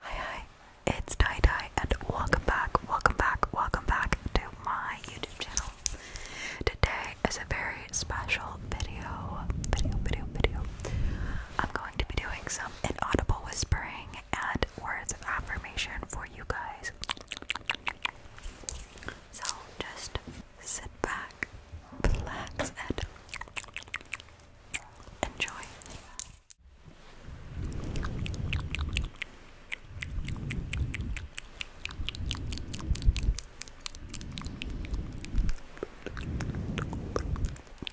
Hi hi, it's Dai Dai and welcome back, welcome back, welcome back to my YouTube channel. Today is a very special video, video, video, video. I'm going to be doing some um, an audible whispering and words of affirmation for you guys. So just sit back, relax, and enjoy.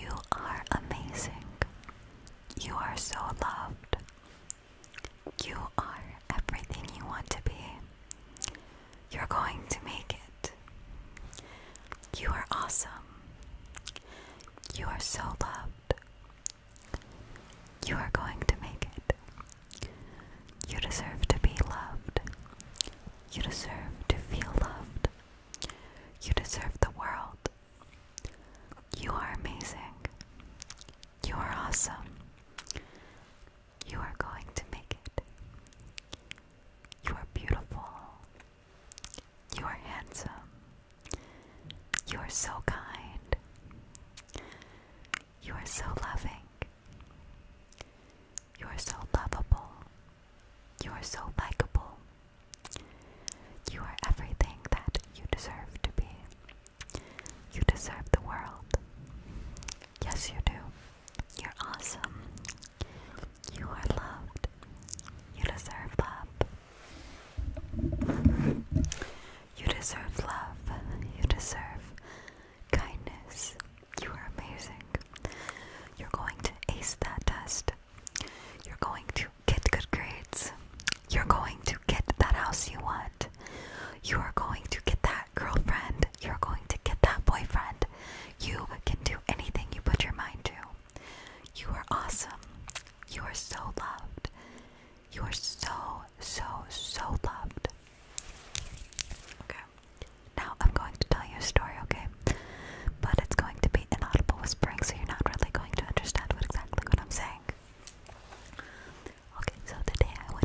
You are amazing. You are so loved. You are everything you want to be. You're going to make it. You are awesome. You are so loved. You are going to make it. You deserve to be loved. You deserve to feel loved. You deserve the world. You are amazing. You are awesome. You are going to make it. You are beautiful. You are handsome. You are so kind. You are so loving. You are so lovable. You are so likable. You are everything that you deserve to be. You deserve the world. Yes, you do. You're awesome. You are loved. You deserve love. You deserve love. You deserve kindness. You are amazing. You're going to ace that test. You're going to get good grades. You're going to get that house you want. You are going to get that girlfriend. You're going to get that boyfriend. You can do anything you put your mind to. You are awesome. You are so loved. You are so, so, so loved. Okay. Now I'm going to tell you a story, okay? But it's going to be inaudible whispering, so you're not really going to understand what exactly what I'm saying. Okay, so today I would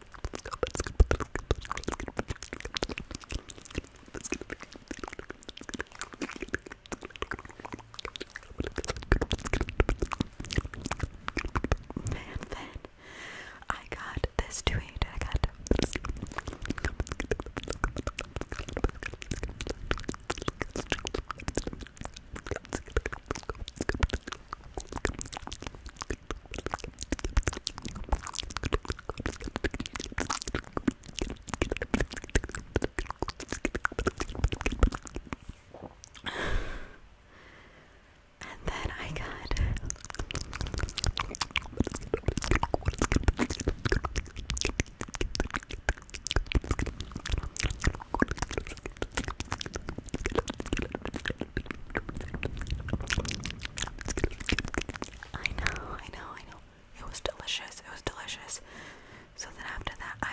And then I got this to eat. I got and then I got I know, I know, I know. It was delicious. It was delicious. So then after that, I.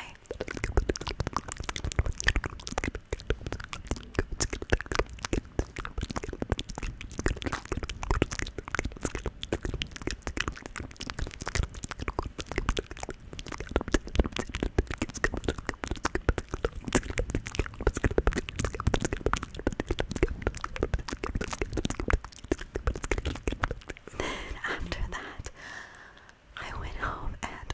And after that, I went home and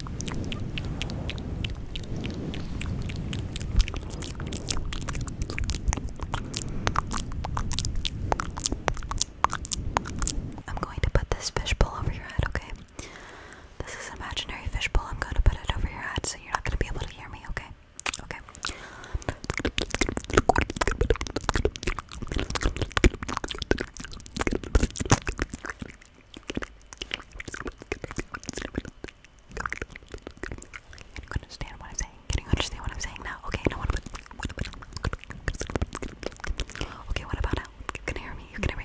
I'm going to put this fishbowl over your head, okay? This is an imaginary fishbowl. I'm going to put it over your head so you're not going to be able to hear me, okay? Okay. You understand what I'm saying? Can you understand what I'm saying now? Okay, now what about what about Okay, what about now? You can hear me, you can hear me.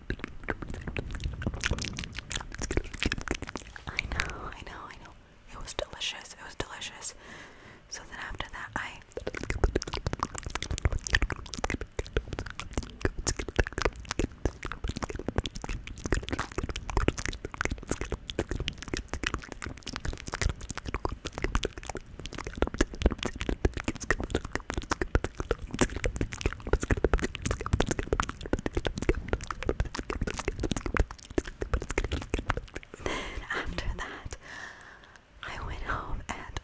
I know, I know, I know. It was delicious. It was delicious. So then after that, I. Then after that, I went home and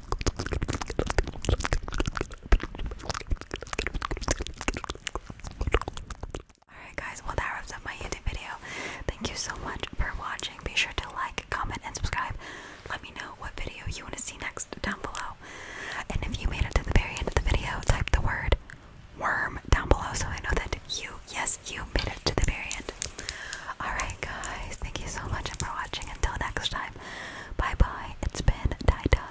Alright guys, well that wraps up my YouTube video. Thank you so much for watching. Be sure to like, comment, and subscribe. Let me know what video you want to see next down below. And if you made it to the very end of the video, type the word worm down below so I know that you, yes, you made it to the very end. Alright guys, thank you so much for watching. Until next time, Bye bye. It's been Dai Dai.